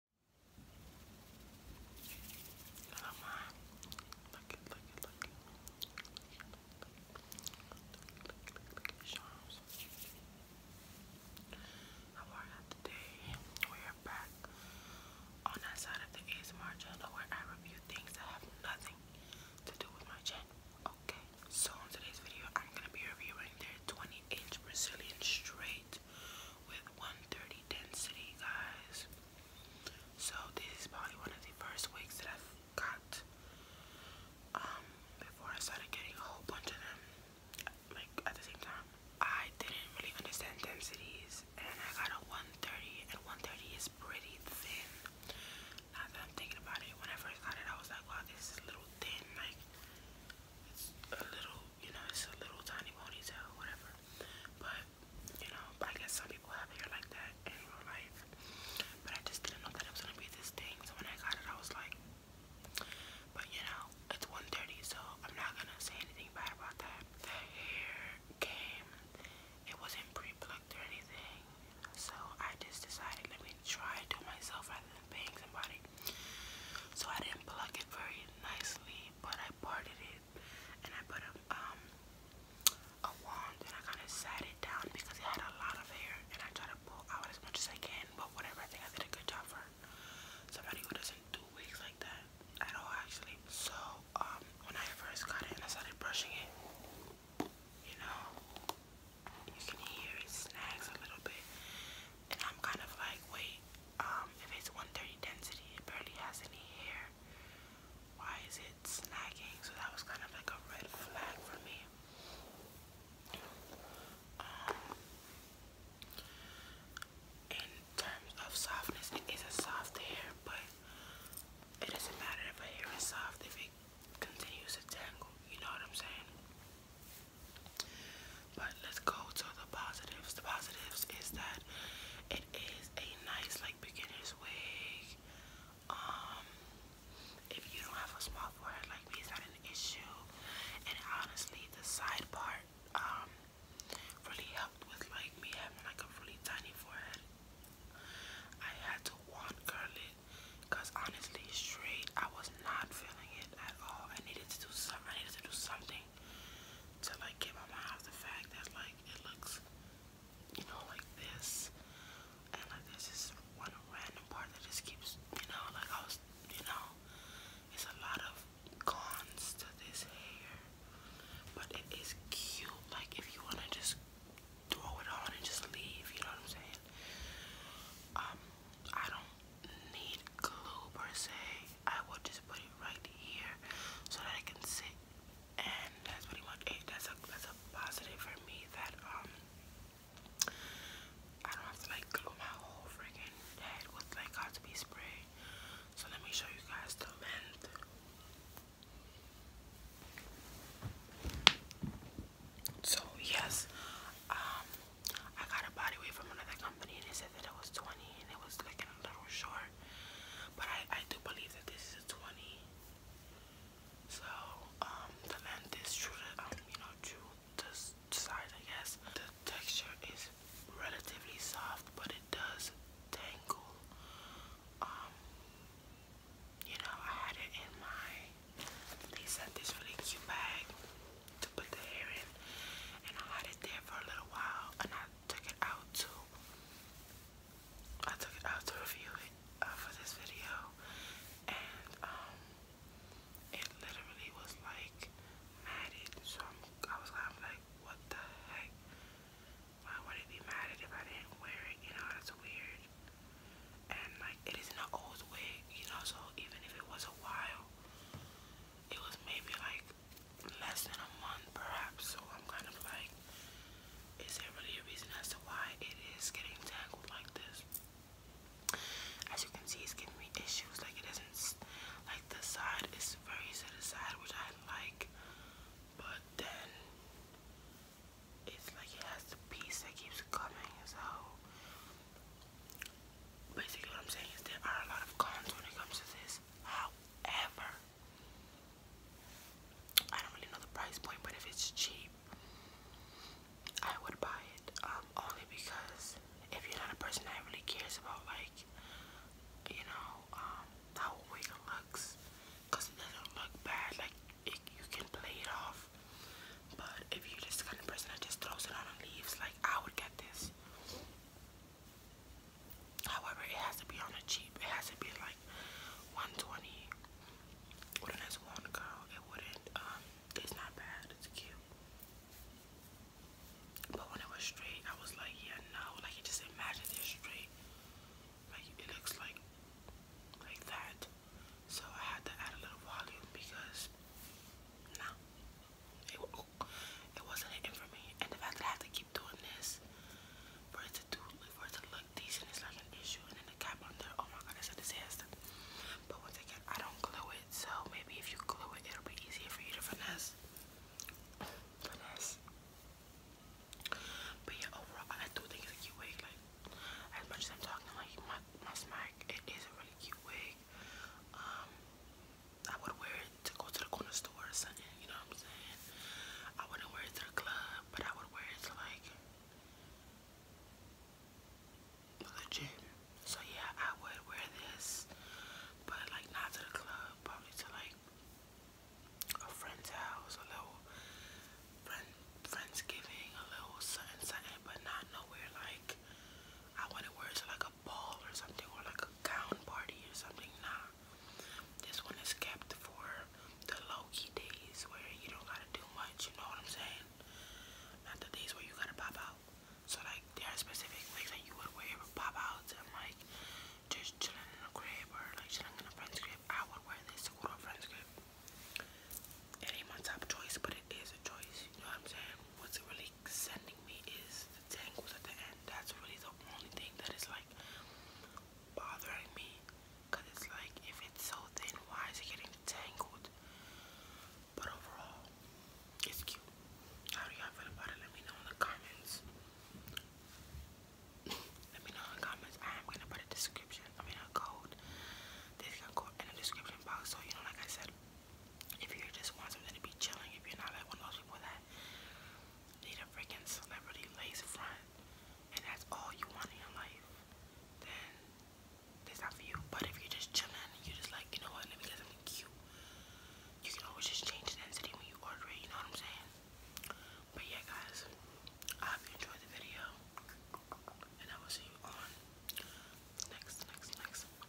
Hello, Mom. Look it, look it, look it. Look it, look it, today? We are back on that side of the ASMR channel where I review things that have nothing to do with my channel. Okay, so in today's video, I'm gonna be reviewing their 20 inch Brazilian straight with 130 density, guys. So this is probably one of the first wigs that I've got um, before I started getting a whole bunch of them like at the same time. I didn't really understand densities and I got a 130 and 130 is pretty thin. Now that I'm thinking about it, when I first got it I was like wow this is a little thin like it's a little, you know, it's a little tiny ponytail, whatever. But, you know, I guess some people have hair like that in real life. But I just didn't know that it was gonna be this thing. So when I got it, I was like, but you know, it's 1.30, so I'm not gonna say anything bad about that. The hair came, it wasn't pre-plucked or anything. So I just decided, let me try to do myself rather bang somebody. So I didn't pluck it very nicely, but I parted it and I put a um a wand and I kind of sat it down because it had a lot of hair and I tried to pull out as much as I can, but whatever. I think I did a good job for somebody who doesn't do wigs like that at all, actually. So um when I first got it and I started brushing it, you know, you can hear it snags a little bit. And I'm kind of like, wait, um, if it's 130 density, it barely has any hair. Why is it snagging? So that was kind of like a red flag for me. Um, in terms of softness, it is a soft hair, but it doesn't matter if a hair is soft if it continues to tangle, you know what I'm saying? But let's go to the positives. The positives is that it is a nice like beginner's wig. Um if you don't have a small forehead like me, it's not an issue. And honestly the side part um really helped with like me having like a really tiny forehead. I had to want curly, because honestly, straight, I was not feeling it at all. I needed to do some. I needed to do something to like get my mind off the fact that like it looks, you know, like this, and like this is one random part that just keeps, you know, like I was, you know, it's a lot of cons to this hair, but it is cute. Like if you wanna just throw it on and just leave, you know what I'm saying? Um, I don't need glue per se. I will just put it right here so that I can sit and that's pretty much it. That's a that's a positive for me that um I don't have to like glue my whole freaking head with like got to be spray. So let me show you guys the length. So yes, um, I got a body weight from another company and they said that it was 20 and it was looking a little short. But I, I do believe that this is a 20. So, um, the length is true to, um, you know, true to size, I guess. The texture is relatively soft, but it does tangle um, you know, I had it in my, they this really cute bag to put the hair in, and I had it there for a little while, and I took it out to, I took it out to review it uh, for this video, and um, it literally was like matted, so i was like, what the heck? Why would I be mad at if I didn't wear it? You know, that's weird. And like, it isn't an old wig, you know, so even if it was a while, it was maybe like less than a month perhaps. So I'm kind of like, is there really a reason as to why it is getting tangled like this? As you can see, it's giving me issues. Like, it is like the side is very set aside, which I like, but then it's like it has the piece that keeps coming. So basically, what I'm saying is there are a lot of cons when it comes to this. However, I don't really know the price point, but if it's cheap, I would buy it. Um, only because if you're not a person that really cares about like much, you know, um, how a wig looks. Because it doesn't look bad, like it, you can play it off. But if you're just the kind of person that just throws it on and leaves, like I would get this. However, it has to be on the cheap. It has to be like 120. With a nice one, girl, it wouldn't. Um, it's not bad. It's cute. But when it was straight, I was like, yeah, no. Like, you just imagine this straight. Like, it looks like, like that. So I had to add a little volume because, nah. It, oh, it wasn't hitting for me. And the fact that I had to keep doing this for it to do, for it to look decent is like an issue. And then the cap on there, oh my god, it's a disaster. But once again, I don't glue it, so maybe if you glue it, it'll be easier for you to finesse. But yeah, overall, I do think it's a cute wig. Like, as much as I'm talking, like, my, my smack, it is a really cute wig. Um, I would wear it to go to the corner store or you know what I'm saying? I wouldn't wear it to the club, but I would wear it like, legit. So yeah, I would wear this, but like not to the club, probably to like a friend's house, a little friend friendsgiving, a little something, something, but not nowhere like I wouldn't wear it to like a ball or something, or like a gown party or something. Nah, this one is kept for the low key days where you don't gotta do much. You know what I'm saying? in. Not that these where you gotta pop out. So like there are specific wigs that you would wear with pop outs and like just chilling in a crib or like chilling in a friend's crib. I would wear this to go to a friend's crib. It ain't my top choice, but it is a choice. You know what I'm saying? What's really sending me is the tangles at the end. That's really the only thing that is like bothering me. Cause it's like if it's so thin, why is it getting tangled. But overall, it's cute. How do y'all feel about it? Let me know in the comments. Let me know in the comments. I am gonna put a description, a code. This can in the description box. So you know, like I said, if you just want something to be chilling, if you're not like one of those people that need a freaking celebrity lace front and that's all you want in your life, then that's not for you. But if you're just chilling you're just like, you know what, let me get cute, you can always just change the density when you order it, you know what I'm saying? But yeah, guys, I hope you enjoyed the video, and I will see you on next, next, next, next.